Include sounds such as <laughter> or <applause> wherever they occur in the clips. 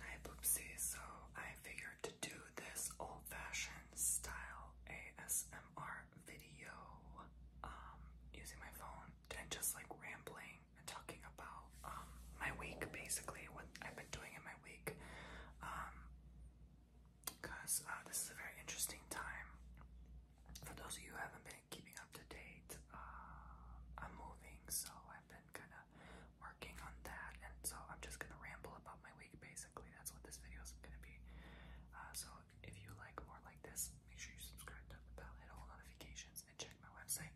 Hi Poopsie, so I figured to do this old-fashioned style ASMR video um, using my phone and just like rambling and talking about um, my week basically, what I've been doing in my week um, uh, this is a very interesting time for those of you haven't been keeping up to date. Uh, I'm moving, so I've been kind of working on that, and so I'm just gonna ramble about my week. Basically, that's what this video is gonna be. Uh, so if you like more like this, make sure you subscribe, to the bell, hit all notifications, and check my website,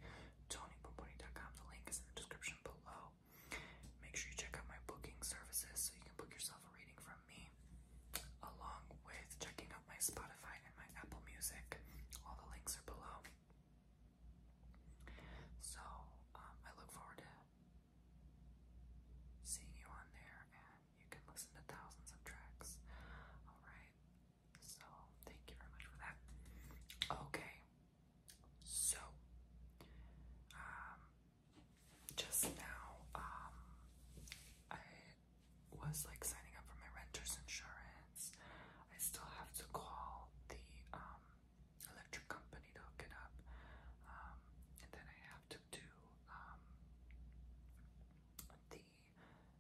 TonyPomponi.com. The link is in the description below. Make sure you check out my booking services so you can book yourself a reading from me, along with checking out my Spotify and my Apple Music. All the links are below. So um, I look forward to seeing you on there, and you can listen to thousands of tracks. All right. So thank you very much for that. Okay. So um, just now um, I was like signing up for my renter's insurance. I still have to call the um, electric company to hook it up. Um, and then I have to do um, the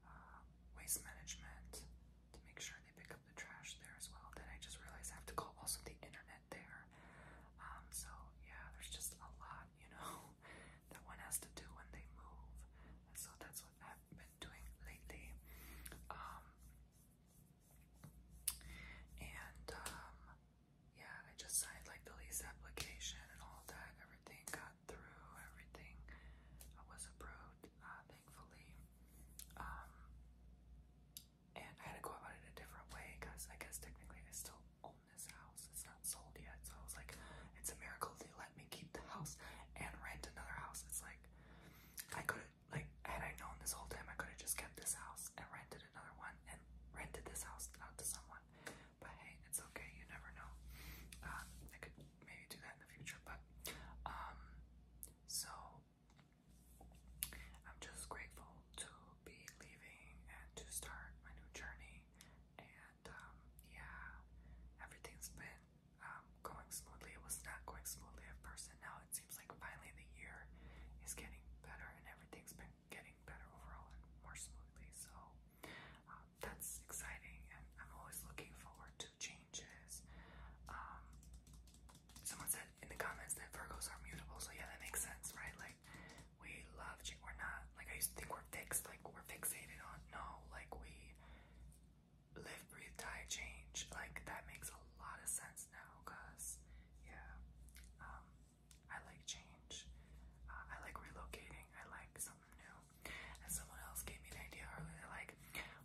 uh, waste management to make sure they pick up the trash there as well. Then I just realized I have to call also the internet there. Um, so yeah, there's just a lot, you know that one has to do when they move. So that's what I've been doing lately. Um, and um, yeah, I just signed like the lease application and all that. Everything got through, everything uh, was approved, uh, thankfully. Um, and I had to go about it a different way because I guess technically I still this house. It's not sold yet. So I was like, it's a miracle they let me keep the house and rent another house. It's like, I could have, like, had I known this whole time, I could have just kept this house and rented another one and rented this house out to someone. But hey, it's okay. You never know. Um, I could maybe do that in the future. But, um, so I'm just grateful to be leaving and to start my new journey and um, yeah, everything's been um, going smoothly. It was not going smoothly at first, and now it seems like finally the year is getting better, and everything's been getting better overall and more smoothly. So um, that's exciting, and I'm always looking forward to changes. Um, someone said in the comments that Virgos are mutable, so yeah, that makes sense, right? Like we love change. We're not like I used to think we're fixed, like we're fixated on. No, like we live, breathe, die, change. Like that makes a lot of sense now, cause yeah, um, I like change. Uh, I like relocating. I like something new. And someone else gave me an idea earlier, like,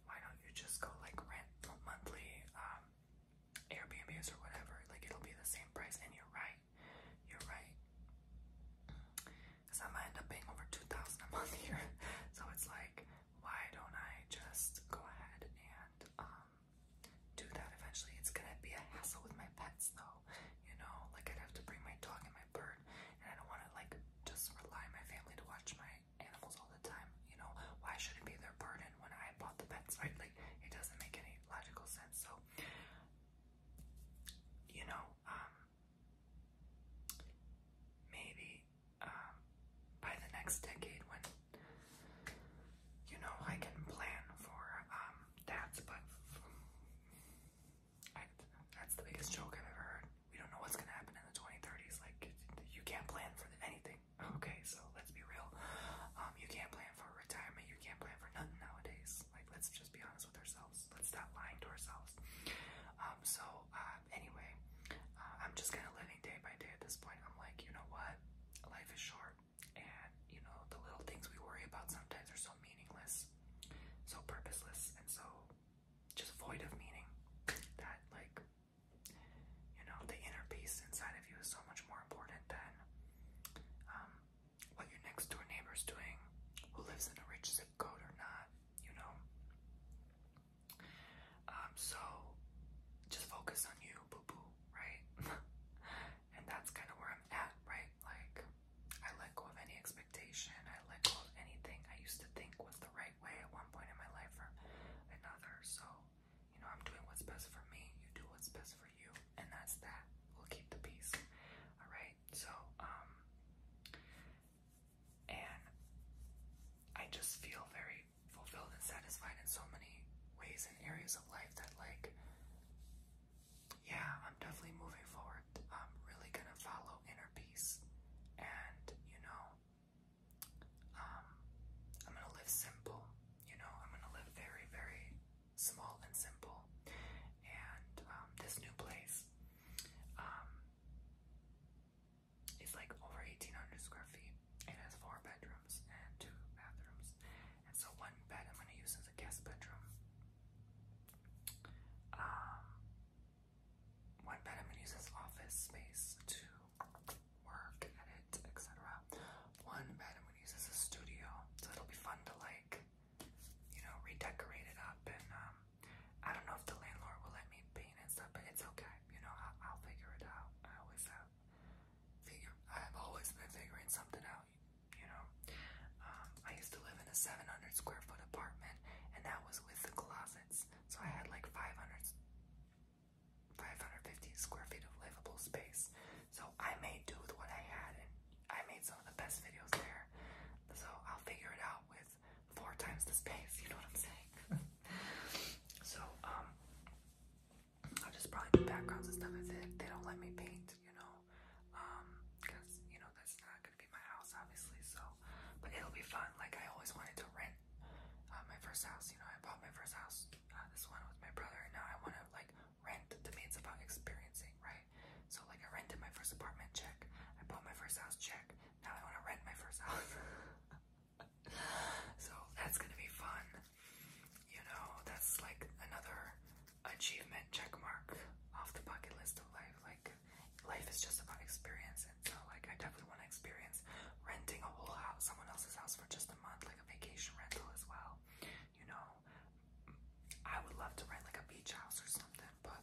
why don't you just go like rent monthly um, Airbnbs or whatever? Like it'll be the same price. And you're right. You're right because I might end up paying over 2000 a month here. <laughs> So it's like, why don't I just go ahead and um, do that eventually? It's gonna be a hassle with my pets though, you know? Like I'd have to bring my dog and my bird, and I don't wanna like just rely on my family to watch my animals all the time, you know? Why should it be their burden when I bought the pets, right? Like it doesn't make any logical sense. So, you know, um, maybe um, by the next decade when you know I can plan for um, that. But that's the biggest joke I've ever heard. We don't know what's gonna happen in the 2030s. Like you can't plan for anything. Okay, so let's be real. Um, you can't plan for retirement. You can't plan for nothing nowadays. Like let's just be honest with ourselves. Let's stop lying to ourselves. Um, so, uh, anyway, uh, I'm just kind of living day by day at this point. I'm like, you know what? Life is short, and you know, the little things we worry about sometimes are so meaningless, so purposeless, and so just void of meaning that, like, you know, the inner peace inside of you is so much more important than um, what your next door neighbor's doing, who lives in a rich zip code or not, you know. Um, so just focus on you, boo boo, right? <laughs> and that's kind of where I'm at, right? Like, I let go of any expectation, I let go of anything I used to think was the right way at one point in my life or another. So, you know, I'm doing what's best for me, you do what's best for you and that's that. We'll keep the peace. Alright, so, um, and I just feel very fulfilled and satisfied in so many ways and areas of life that, like, yeah, I'm definitely moving forward. I'm really gonna follow inner peace, and you know, um, I'm gonna live simple. You know, I'm gonna live very, very small and simple. And um, this new place um, is like over 1,800 square feet. It has four bedrooms and two bathrooms. And so one bed I'm going to use as a guest bedroom. Um, one bed I'm going to use as office space to work, edit, etc. One bed I'm going to use as a studio. So it'll be fun to like you know, redecorate it up. And um, I don't know if the landlord will let me paint and stuff, but it's okay. You know, I'll, I'll figure it out. I always have figure. I've always been figuring something out. You know, um, I used to live in a 700 square foot apartment, and that was with the closets. So I had like 500, 550 square feet of livable space. So I made do with what I had, and I made some of the best videos there. So I'll figure it out with four times the space. You know what I'm saying? <laughs> so um, I'll just probably do backgrounds and stuff as it. They don't let me paint, you know, um, because you know that's not gonna be my house, obviously. So, but it'll be fun. Like I always wanted to rent uh, my first house. You know, I bought my first house. Uh, this one was my brother, and now I want to like rent to me it's about experiencing right so like i rented my first apartment check i bought my first house check now i want to rent my first house <laughs> so that's gonna be fun you know that's like another achievement check mark off the bucket list of life like life is just about experience so like i definitely want to experience renting a whole house someone else's house for just a month like a vacation rental as well you know, I would love to rent like a beach house or something, but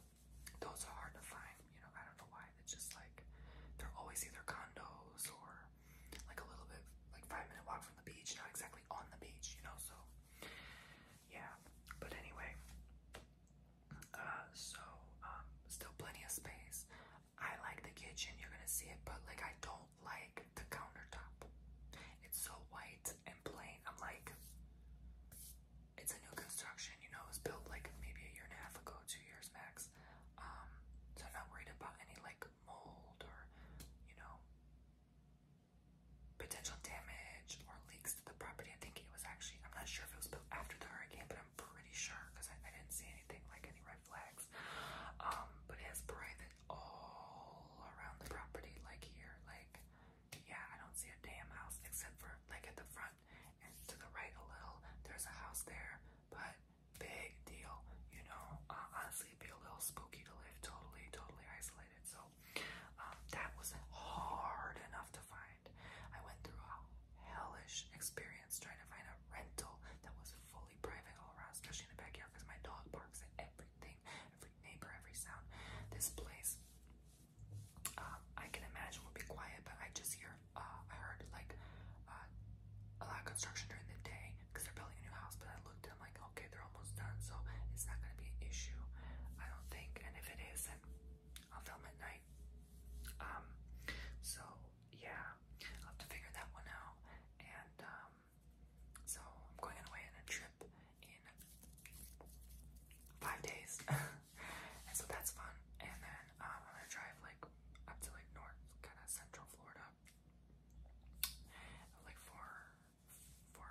those are hard to find. You know, I don't know why. It's just like they're always either condos or like a little bit like five minute walk from the beach, not exactly on the beach, you know. So yeah, but anyway, uh, so um, still plenty of space. I like the kitchen. You're gonna see it, but like I don't like the countertop. It's so white and plain. I'm like, it's a new construction, you know, it was built like maybe a year and a half ago, two years max. Um, so I'm not worried about any like mold or, you know, potential damage or leaks to the property. I think it was actually, I'm not sure if it was built after the hurricane, but I'm pretty sure because I, didn't see anything like any red flags. Um, but it has private like all around the property, like here, like yeah, I don't see a damn house except for like at the front and to the right a little. There's a house there, but big deal, you know. Uh, honestly, it'd be a little spooky to live totally, totally isolated. So um, that was hard enough to find. I went through a hellish experience trying to find a rental that was fully private all around, especially in the backyard, because my dog barks at every everything, every neighbor, every sound. This place, uh, I can imagine will be quiet, but I just hear, uh, I heard like uh, a lot of construction during the day because they're building a new house. But I looked and I'm like, okay, they're almost done, so it's not gonna be an issue, I don't think. And if it is, I'll film at night. Um, so yeah, i have to figure that one out. And um, so I'm going on a trip in five days, <laughs> and so that's fun. And then um, I'm gonna drive like up to like north, kind of central Florida, like four, four,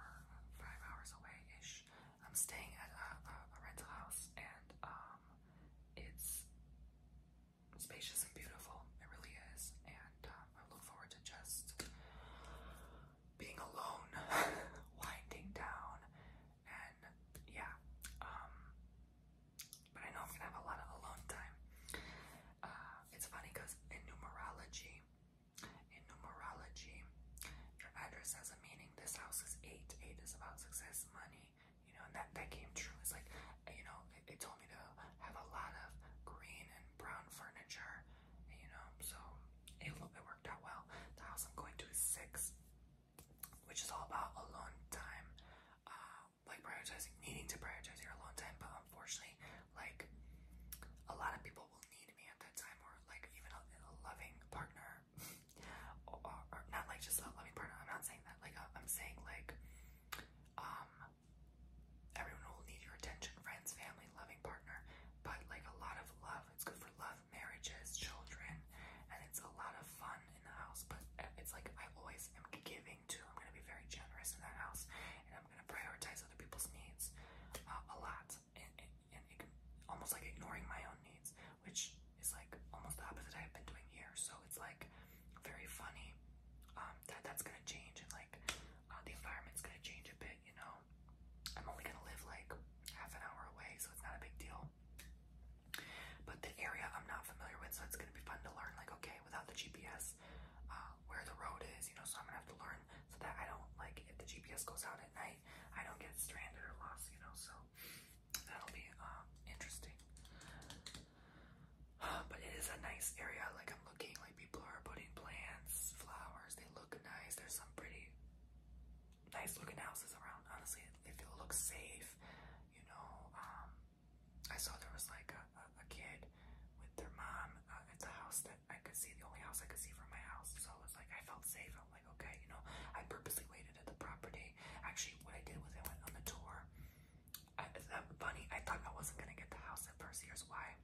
five hours away ish. I'm staying at a, a rental house, and um, it's spacious and beautiful. It really is. And um, I look forward to just being alone, <laughs> winding down, and yeah. Um, but I know I'm gonna have a lot of alone time. Uh, it's funny because in numerology, in numerology, your address has a meaning. This house is eight. Eight is about success, money. You know, and that that came true. It's like you know, they told me to have a lot of green and brown furniture, you know, so it, it worked out well. The house I'm going to is six, which is all about alone time, uh, like prioritizing, needing to prioritize your alone time, but unfortunately, like, a lot of people will need me at that time, or like even a, a loving partner, <laughs> or, or, or not like just a loving partner, I'm not saying that, like, I'm saying like, um, um, everyone will need your attention, friends, family, loving partner, but like a lot of love. It's good for love, marriages, children, and it's a lot of fun in the house. But uh, it's like I always am giving to. I'm gonna be very generous in that house, and I'm gonna prioritize other people's needs uh, a lot, and, almost like ignoring my own needs, which is like almost the opposite I've been doing here. So it's like very funny. Um, that that's gonna change and like uh, the environment's gonna change a bit, you know. I'm only gonna live like half an hour away, so it's not a big deal. But the area I'm not familiar with, so it's gonna be fun to learn. Like, okay, without the GPS, uh, where the road is, you know. So I'm gonna have to learn so that I don't like if the GPS goes out at night, I don't get stranded or lost, you know. So that'll be uh, interesting. <sighs> But it is a nice area. Like I'm looking, like people are putting plants, flowers. They look nice. There's some pretty nice looking houses around. Honestly, they feel look safe. You know, um, I saw there was like a, a, a kid with their mom. Uh, it's a house that I could see, the only house I could see from my house. So it was like I felt safe. I'm like, okay, you know, I purposely waited at the property. Actually, what I did was I went on the tour. I, funny, I thought I wasn't gonna get the house at first. Here's why.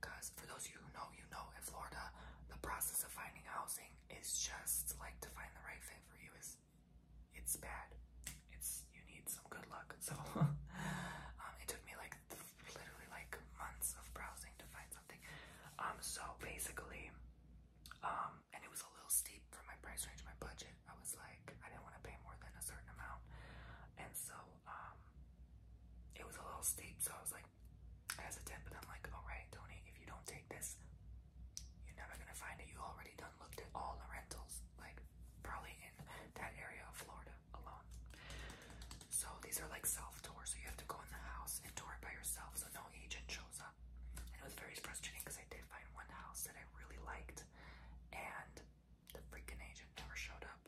Because for those of you who know, you know, in Florida, the process of finding housing is just like to find the right thing for you is it's bad. It's you need some good luck. <laughs> So um, it took me like literally like months of browsing to find something. Um, so basically, um, and it was a little steep for my price range, my budget. I was like, I didn't want to pay more than a certain amount. And so um, it was a little steep. So I was like, hesitant, but I'm like, all right, Tony, if you don't take this, you're never going to find it. You already done looked at all the rentals, like probably in that area of Florida alone. So these are like self tours. So you have to go in the house and tour it by yourself. So no agent shows stuff. And it was very frustrating because I did find one house that I really liked, and the freaking agent never showed up.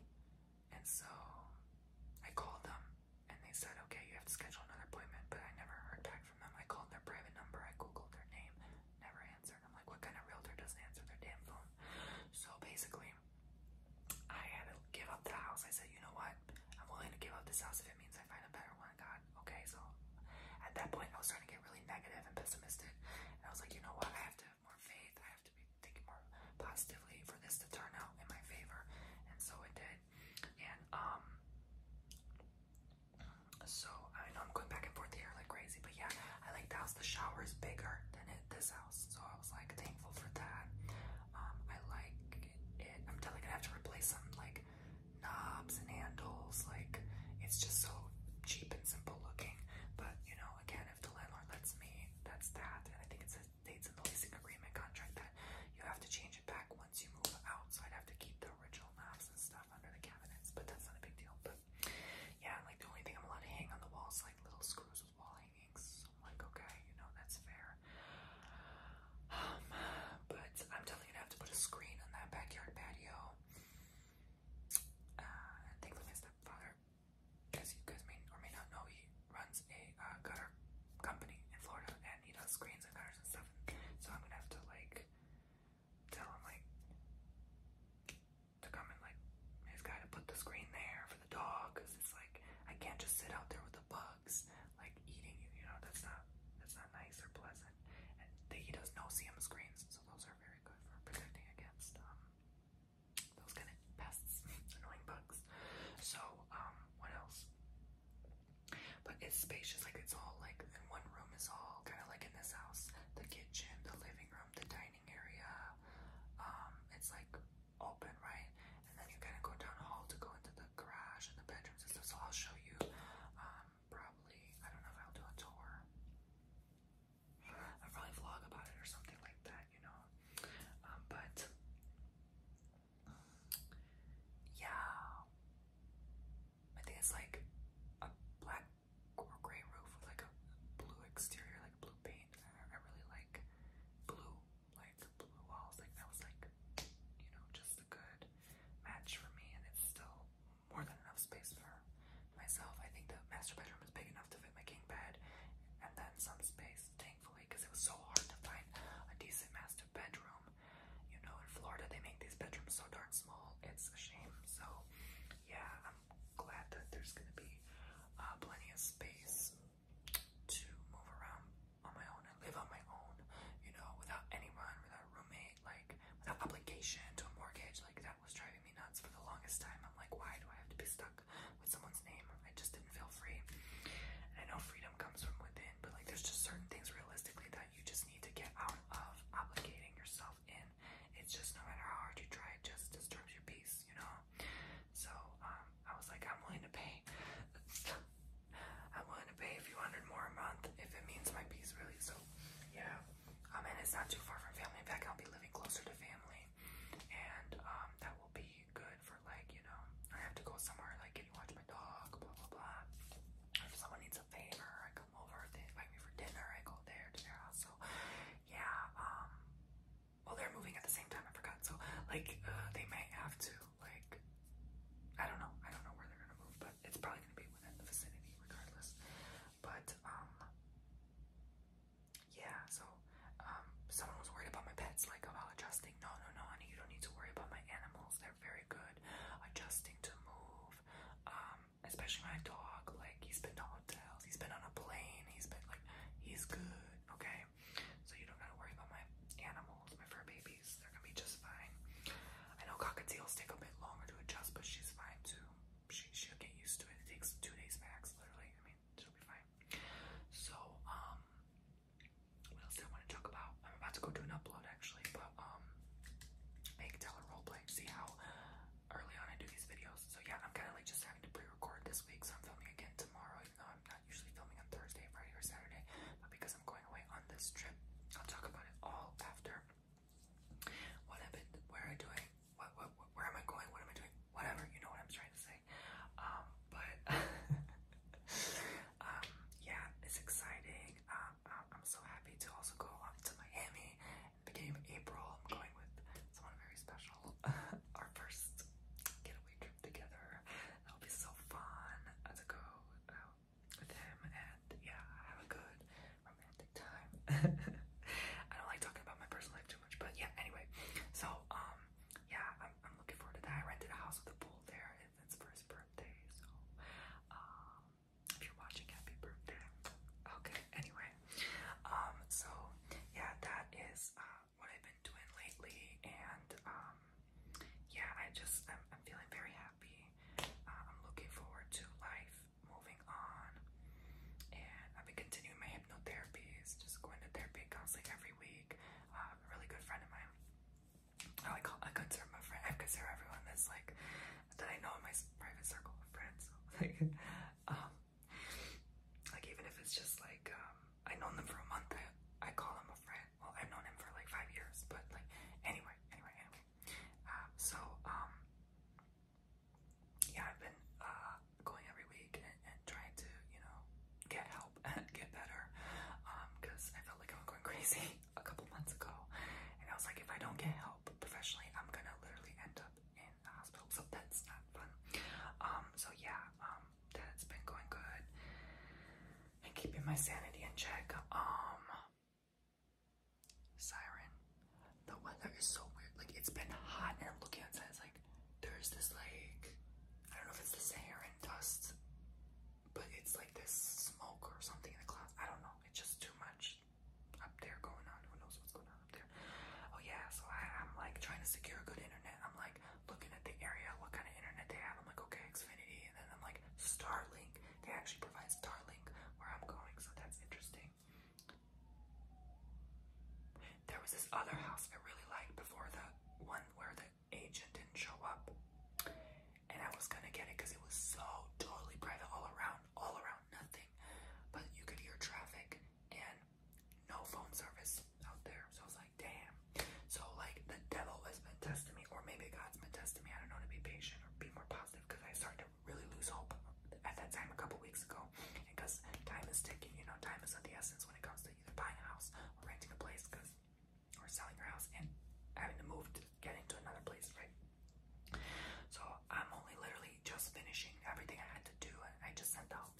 And so I called them, and they said, "Okay, you have to schedule another appointment." But I never heard back from them. I called their private number, I googled their name, never answered. I'm like, "What kind of realtor doesn't answer their damn phone?" So basically, I had to give up the house. I said, "You know what? I'm willing to give up this house if it means I find a better one." my god. Okay, so at that point, I was starting to get really negative and pessimistic. And I was like, you know what? I have to have more faith. I have to be thinking more positively for this to turn out in my favor. And so it did. And um, so I know I'm going back and forth here like crazy, but yeah, I like the house. The shower is bigger than it this house, so I was like thankful for that. Um, I like it. I'm definitely gonna have to replace some like knobs and handles. Like, it's just so cheap and simple looking. But, you know, again, if the landlord lets me, that's that. And I think it states in the leasing agreement contract that you have to change it back once you move out. So I'd have to keep the original knobs and stuff under the cabinets. But that's not a big deal. But yeah, like the only thing I'm allowed to hang on the walls like little screws with wall hangings. So I'm like, okay, you know, that's fair. Um, but I'm definitely gonna have to put a screen on that backyard patio. Uh, I think my stepfather, as you guys may or may not know, he runs a uh, gutter company in Florida, and he does screens and gutters and stuff. So I'm gonna have to like tell him like to come and like he's got to put the screen there for the dog, cause it's like I can't just sit out there with the bugs like eating you. You know that's not that's not nice or pleasant they, he does no CM screens, so those are very good for protecting against um, those kind of pests, <laughs> annoying bugs. So, um, what else? But it's spacious, like it's all like one room is all kind of like in this house, the kitchen, the living room, the dining area. Um, it's like open, right? And then you kind of go down the hall to go into the garage and the bedrooms and So I'll show you um, probably, I don't know if I'll do a tour. I'll probably vlog about it or something like that, you know. Um, but yeah, I think it's like a black or gray roof with like a blue exterior, like blue paint. I really like blue, like blue walls. Like that was like, you know, just a good match for me, and it's still more than enough space for myself. I think the master bedroom is big enough to fit my king bed and then some space, thankfully, because it was so hard to find a decent master bedroom. You know, in Florida, they make these bedrooms so darn small, it's a shame. So, yeah, I'm glad that there's gonna be uh, plenty of space to move around on my own and live on my own, you know, without anyone, without a roommate like without obligation to a mortgage, like that was driving me nuts for the longest time. I'm like, why do I have to be stuck with someone's name? I just didn't feel free. I know freedom comes from within, but like there's just certain things realistically that you just need to get out of obligating yourself in. It's just no matter how hard you try, it just disturbs your peace, you know? So, um, I was like, I'm willing to pay I'm willing to pay a few hundred more a month if it means my peace, really. So, yeah. I um, mean, it's not too far from family. In fact, I'll be living closer to family, and um, that will be good for like you know, I have to go somewhere like can you watch my dog, blah blah blah. If someone needs a favor, I come over. They invite me for dinner. I go there to their house. So, yeah. Um, well, they're moving at the same time. I forgot. So, like, uh, they may have to like. I don't know. I don't know where they're gonna move, but it's probably gonna be within the vicinity regardless. But um yeah, so um someone was worried about my pets like about adjusting. No, no, no, honey, you don't need to worry about my animals. They're very good adjusting to move. Um, especially my dog, like he's been to hotels, he's been on a plane, he's been like he's good, okay? So you don't gotta worry about my animals, my fur babies. They're gonna be just fine. I know cockatiels take a bit longer to adjust, but she's fine too. She will get used to it. It takes two days max, literally. I mean, she'll be fine. So, um, what else do I want to talk about? I'm about to go do an upload actually, but um, make teller roleplay. See how early on I do these videos. So yeah, I'm kind of like just having to pre-record this week, so I'm filming again tomorrow, even though I'm not usually filming on Thursday, Friday, or Saturday, but because I'm going on this trip. I'll talk about it all after. What happened? Where am I doing? What, what, where am I going? What am I doing? Whatever, you know what I'm trying to say. Um, but <laughs> um, yeah, it's exciting. Um, I'm so happy to also go to Miami. Beginning of April, I'm going with someone very special. <laughs> Our first getaway trip together. That'll be so fun to go with him and yeah, have a good romantic time. <laughs> I don't like talking about my personal life too much, but yeah, anyway. So, um, yeah, I'm, I'm looking forward to that. I rented a house with a pool there. It's for his birthday, so, um, if you're watching, happy birthday. Okay, anyway, um, so, yeah, that is, uh, what I've been doing lately, and, um, yeah, I just I'm, feeling very happy. Uh, I'm looking forward to life moving on, and I've been continuing my hypnotherapies, just going to therapy counseling every week. Uh, a really good friend of mine. I like I consider my friend. I consider everyone that's like that I know in my private circle of friends. <laughs> like, um, like even if it's just like um, I know them for a month, I call them a friend well, I've known him for like five years, but like, anyway, anyway, anyway. Um, so, um, yeah, I've been uh, going every week and, and trying to, you know, get help and <laughs> get better um, because I felt like I was going <laughs> crazy a couple months ago. And I was like, if I don't get help professionally, I'm gonna literally end up in the hospital. So that's not fun. Um, so yeah, um, that it's been going good and keeping my sanity in check. Um, siren, the weather is so weird. Like it's been hot, and I'm looking outside. It's like there's this like I don't know if it's the Saharan dust, but it's like this smoke or something in the clouds. I don't know. It's just too much up there going on. Who knows what's going on up there? Oh yeah. So I'm like trying to secure good internet. I'm like looking at the area, what kind of internet they have. I'm like, okay, Xfinity, and then I'm like, Starlink. They actually provide Starlink where I'm going, so that's interesting. There was this other house I really liked before the one where the agent didn't show up, and I was gonna get it because it was so totally private all around, all around nothing, but you could hear traffic and no phone service out there. So I was like damn. So, like, the devil has been testing me, or maybe God's been testing me. I don't know to be patient or be more positive because I started to really lose hope at that time a couple weeks ago. Because time is ticking, you know, time is of the essence when it comes to either buying a house or renting a place, because or selling your house and having to move to get into another place, right? So I'm only literally just finishing everything I had to do, I just sent out,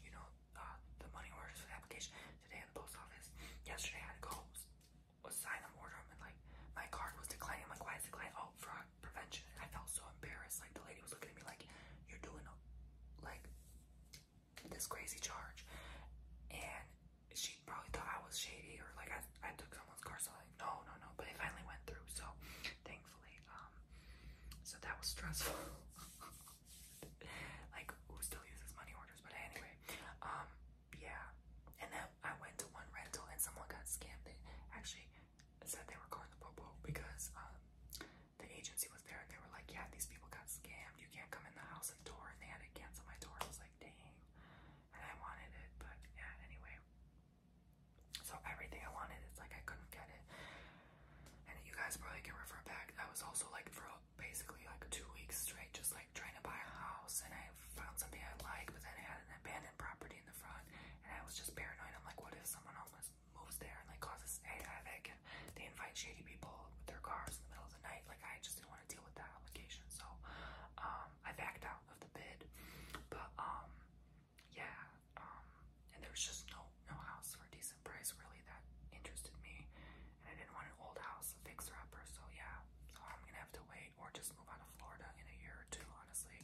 you know, uh, the money orders for the application today in the post office. Yesterday, I had to go sign an order, and like my card was declining. I'm like, why is it declining? Oh, fraud prevention. I felt so embarrassed. Like the lady was looking at me like, you're doing like this crazy charge, and she probably thought I was shady or like I, I took someone's card. So like, no, no, no. But it finally went through. So thankfully, um, so that was stressful. <laughs> <laughs> like who still uses money orders, but anyway, um, yeah. And then I went to one rental and someone got scammed. They actually said they were calling the popo because um the agency was there and they were like, yeah, these people got scammed. You can't come in the house and tour. And they had to cancel my tour. I was like, dang. And I wanted it, but yeah. Anyway, so everything I wanted, it's like I couldn't get it. And you guys probably can refer back. I was also like for a basically like two weeks straight just like trying to buy a house and I found something I like but then I had an abandoned property in the front and I was just paranoid. I'm like what if someone else moves there and like causes a havoc and they invite shady people with their cars in the middle of the night. Like I just didn't want to deal with that obligation. So um I backed out of the bid. But um yeah, um and there was just no no house for a decent price really that interested me. And I didn't want an old house, a fixer-upper, so yeah. So I'm gonna have to wait or just move out of Florida in a year or two, honestly.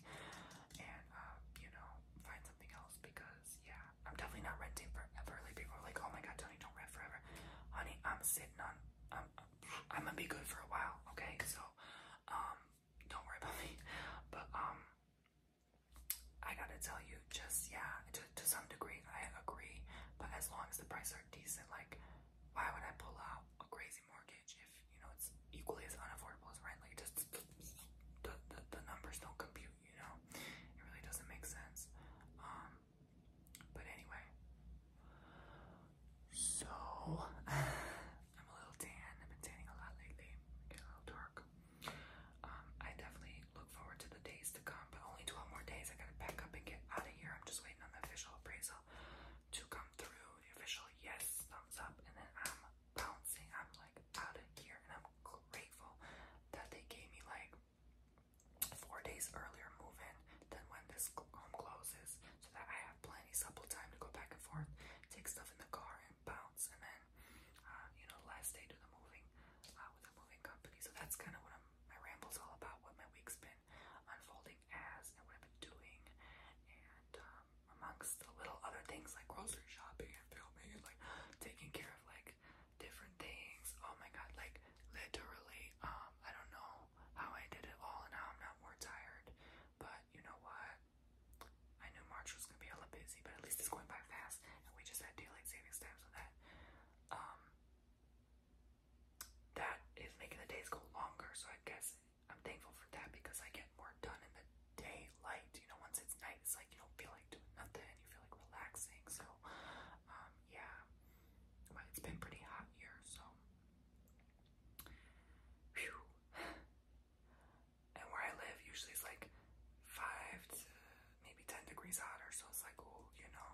And, uh, you know, find something else because, yeah, I'm definitely not renting forever. Like, people are like, oh my god, Tony, don't rent forever. Honey, I'm sitting on, I'm, I'm gonna be good for a while, okay? So, um, don't worry about <laughs> me. But, um, I gotta tell you, just yeah, to, to some degree, I agree. But as long as the prices are decent, like, why would I pull out a crazy mortgage if you know it's equally as unaffordable as rent? Like, just the, the, numbers don't compute, you know, it really doesn't make sense. Um, but anyway, so <laughs> I'm a little tan, I've been tanning a lot lately, get a little dark. Um, I definitely look forward to the days to come, but only 12 more days. I gotta pack up and get out of here. I'm just waiting on the official appraisal to come through. official yes, thumbs up, and then I'm bouncing. I'm like out of here, and I'm grateful that they gave me like four days earlier move in than when this home closes, so that I have plenty of time to go back and forth, take stuff in the car, and bounce, and then uh, you know, last day to the moving uh, with a moving company. So that's kind of what I'm, my ramble's all about, what my week's been unfolding as and what I've been doing, and um, amongst the little other things like grocery shopping and filming and like taking care of like different things. Oh my god, like literally, um, I don't know how I did it all and how I'm not more tired, but you know what? I knew March was gonna be a little busy, but at least it's going by fast, and we just had daylight saving time, that. Um, that is making the days go longer, so I guess I'm thankful for that because I get more done in the daylight. You know, once it's night, it's like you don't feel like doing nothing, and you feel like relaxing. So, um, yeah, it's been pretty hot here, so. <sighs> And where I live usually is like five maybe 10 degrees hotter, so it's like, oh, you know,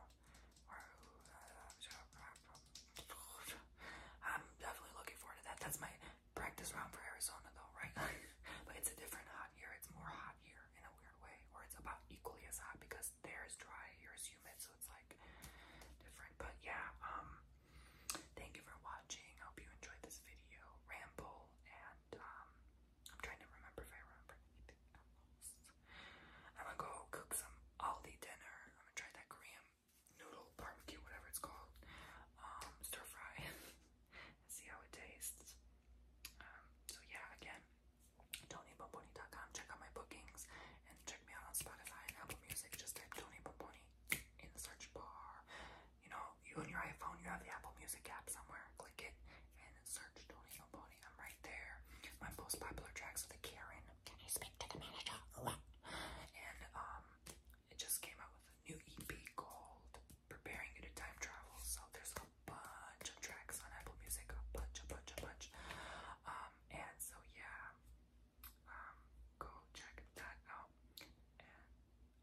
I'm definitely looking forward to that. That's my practice round for Arizona, though, right? <laughs> but it's a different hot here. It's more hot here in a weird way, or it's about equally as hot because there is dry, here as humid, so it's like different. But yeah, um, thank you for watching. I hope you enjoyed this video ramble, and um, I'm trying to remember if I remember anything I'm gonna go cook some Aldi dinner. I'm gonna try that Korean noodle barbecue, whatever it's called, um, stir fry, <laughs> see how it tastes. Um, so yeah, again, TonyBomboni.com. Check out my bookings and check me out on Spotify and Apple Music. Just type Tony in the search bar you know, you and your iPhone, you have the Apple Music app somewhere. Click it and search Don't Eat I'm right there. My most popular tracks are the Karen. Can you speak to the manager? What? And um, it just came out with a new EP called Preparing for Time Travel. So there's a bunch of tracks on Apple Music, a bunch, a bunch, a bunch. Um, and so yeah, um, go check that out.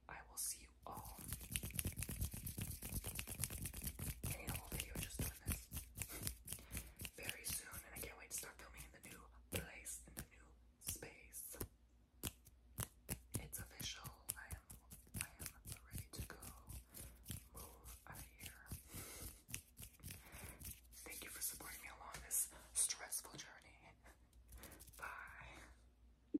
I will see you all in video just doing this very soon, and I can't wait to start filming in the new place, in the new space. It's official. I am, I am ready to go. Move out of here. Thank you for supporting me along this stressful journey. Bye.